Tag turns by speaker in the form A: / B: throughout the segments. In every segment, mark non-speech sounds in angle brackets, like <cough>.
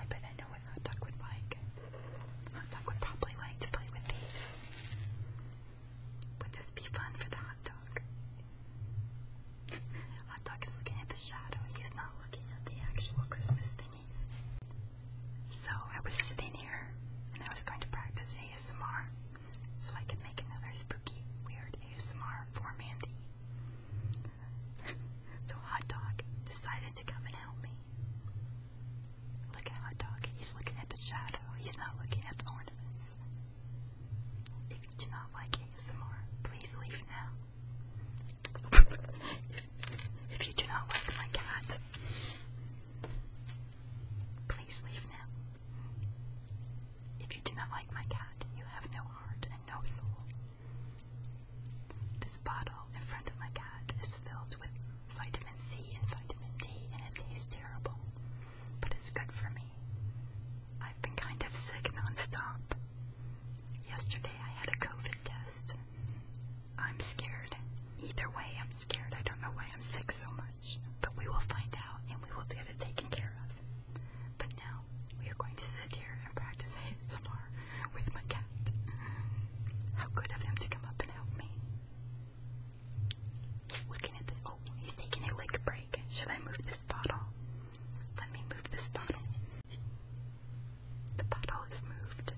A: I bet I know what Hot Dog would like. Hot Dog would probably like to play with these. Would this be fun for the Hot Dog? <laughs> Hot Dog is looking at the shadow. He's not looking at the actual Christmas thingies. So I was sitting here and I was going to practice ASMR so I could make another spooky, weird ASMR for Mandy. <laughs> so Hot Dog decided to come and help me. Look at Hot Dog. He's looking at the shadow. He's not looking at the ornaments. If you do not like ASMR, please leave now. <laughs> if you do not like my cat, please leave now. If you do not like my cat, you have no heart and no soul. This bottle in front of my cat is filled with vitamin C and vitamin D, and it tastes terrible, but it's good for me. I've been kind of sick nonstop. Yesterday I had a COVID test. I'm scared. Either way, I'm scared. I don't know why I'm sick so much, but we will find out and we will get it taken care of. But now we are going to sit here and practice ASMR with my cat. How good of him to come up and help me. He's looking at the. Oh, he's taking a leg break. Should I move this bottle? Let me move this bottle. The bottle is moved.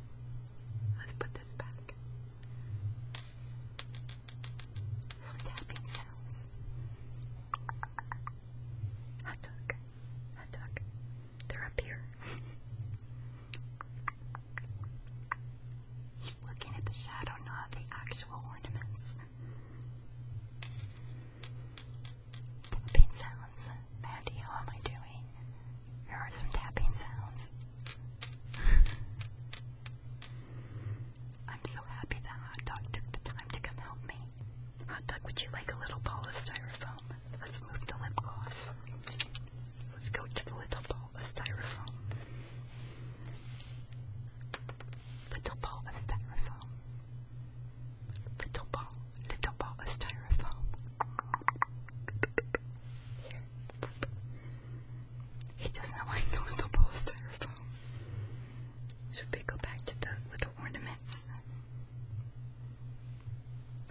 A: Let's put this back. Some tapping sounds. Hot dog. Hot dog. They're up here. looking at the shadow, not the actual ornaments. Tapping sounds. Mandy, how am I doing? Here are some tapping sounds. <laughs> I'm so happy that hot dog took the time to come help me. Hot dog, would you like a little ball of styrofoam? Let's move the lip gloss. Let's go to the little ball of styrofoam. Little ball of styrofoam. Little ball, little ball of styrofoam. Here. He does not like the little ball of styrofoam. Should we go back to the little ornaments?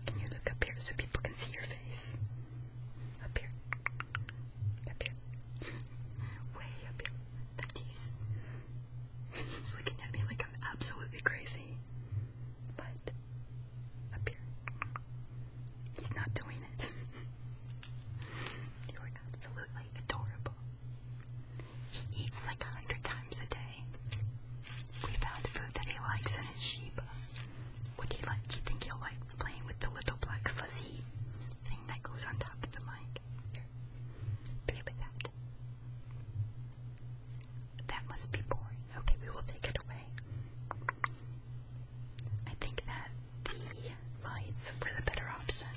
A: Can you look up here so people can see your face? Up here. Up here. Way up here. Matisse. She's <laughs> looking at me like I'm absolutely crazy. But, up here. He's not doing it. <laughs> You're absolutely adorable. He eats like a hundred times a day. We found food that he likes and it's What do you like, do you think he'll like playing with the little black fuzzy thing that goes on top of the mic? play with that. That must be boring. Okay, we will take it away. I think that the lights were the better option.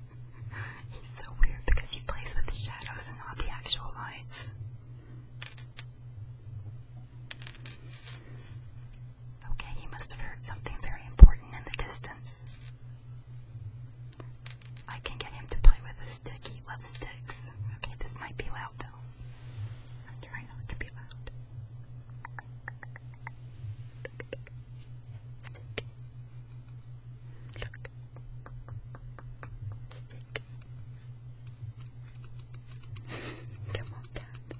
A: <laughs> He's so weird because he plays with the shadows and not the actual lights. Okay, he must have heard something very important in the distance. I can get him to play with a stick. He loves sticks. Okay, this might be loud though. I'm trying not to be loud. Stick. Stick. Come on, cat. <laughs>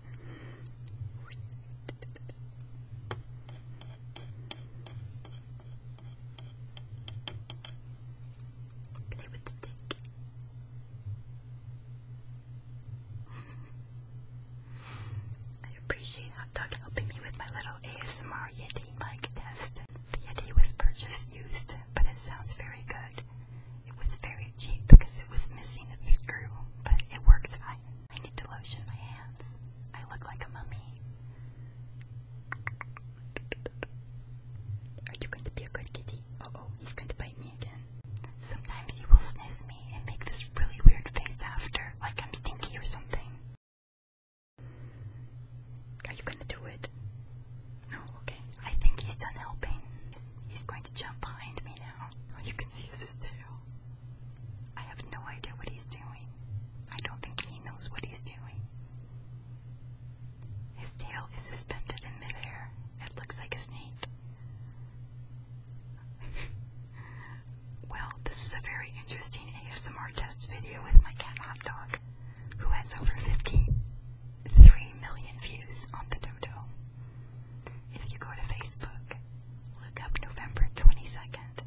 A: I appreciate Hot Dog helping me with my little ASMR Yeti mic test. The Yeti was purchased used, but it sounds very good. It was very cheap because it was missing a screw, but it works fine. I need to lotion my hands. I look like a mummy. Are you going to be a good kitty? Oh oh, he's going to bite me again. Sometimes he will sniff me and make this really weird face after, like I'm stinky or something. Are you gonna do it? No, okay. I think he's done helping. He's going to jump behind me now. Oh, you can see his tail. I have no idea what he's doing. I don't think he knows what he's doing. His tail is suspended in midair. It looks like a snake. <laughs> well, this is a very interesting ASMR test video with my cat hot dog who has over 53 million views on the dodo. If you go to Facebook, look up November 22nd,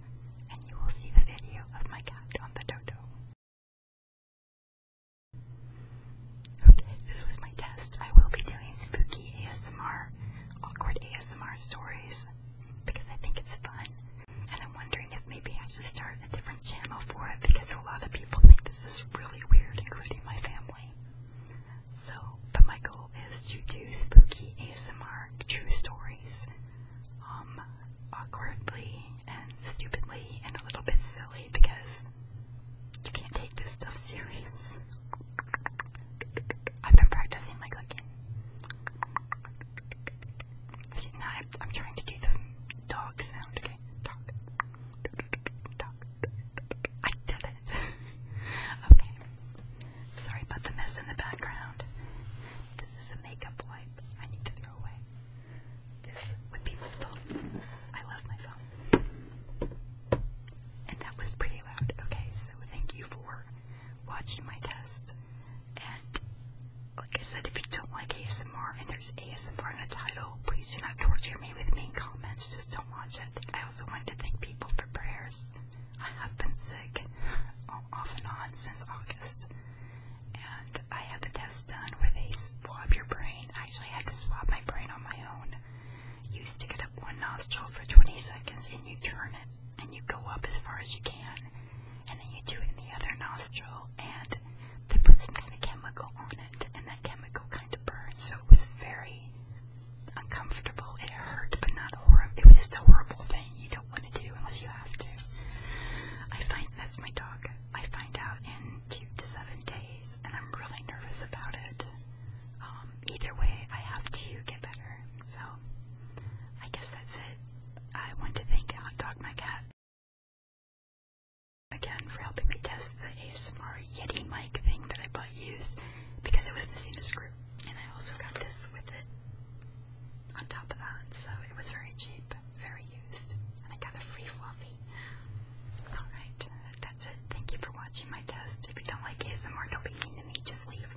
A: and you will see the video of my cat on the dodo. Okay, this was my test. I will be doing spooky ASMR, awkward ASMR stories, because I think it's fun. And I'm wondering if maybe I should start a different channel for it because a lot of people think this is really weird, including my family. So, but my goal is to do spooky ASMR true stories, um, awkwardly and stupidly and a little bit silly because you can't take this stuff serious. I've been practicing my cooking. See, I'm trying to do the dog sound. Okay, dog, I did it. <laughs> okay. Sorry about the mess in the background. This is a makeup wipe. I need to throw away. This would be my I love my phone. And that was pretty loud. Okay, so thank you for watching my test. And like I said, if you don't like ASMR and there's ASMR in the title, please do not torture me with mean comments. Just don't watch it. I also wanted to thank people for prayers. I have been sick uh, off and on since August, and I had the test done where they swab your brain. Actually, I had to swab my brain on my own. You stick it up one nostril for 20 seconds and you turn it, and you go up as far as you can and then you do it in the other nostril, and they put some kind of chemical on it, and that chemical kind of burns. so it was very uncomfortable. It hurt, but not horrible. It was just a horrible thing you don't want to do unless you have to. I find that's my dog. I find out in two to seven days, and I'm really nervous about it. Um, either way, I have to get better. So, I guess that's it. I want to thank Hot Dog My Cat again for helping me test the ASMR Yeti mic thing that I bought used because it was missing a screw. And I also got this with it on top of that, so it was very cheap, very used, and I got a free fluffy. Alright, that's it. Thank you for watching my test. If you don't like ASMR, don't be mean to me, just leave.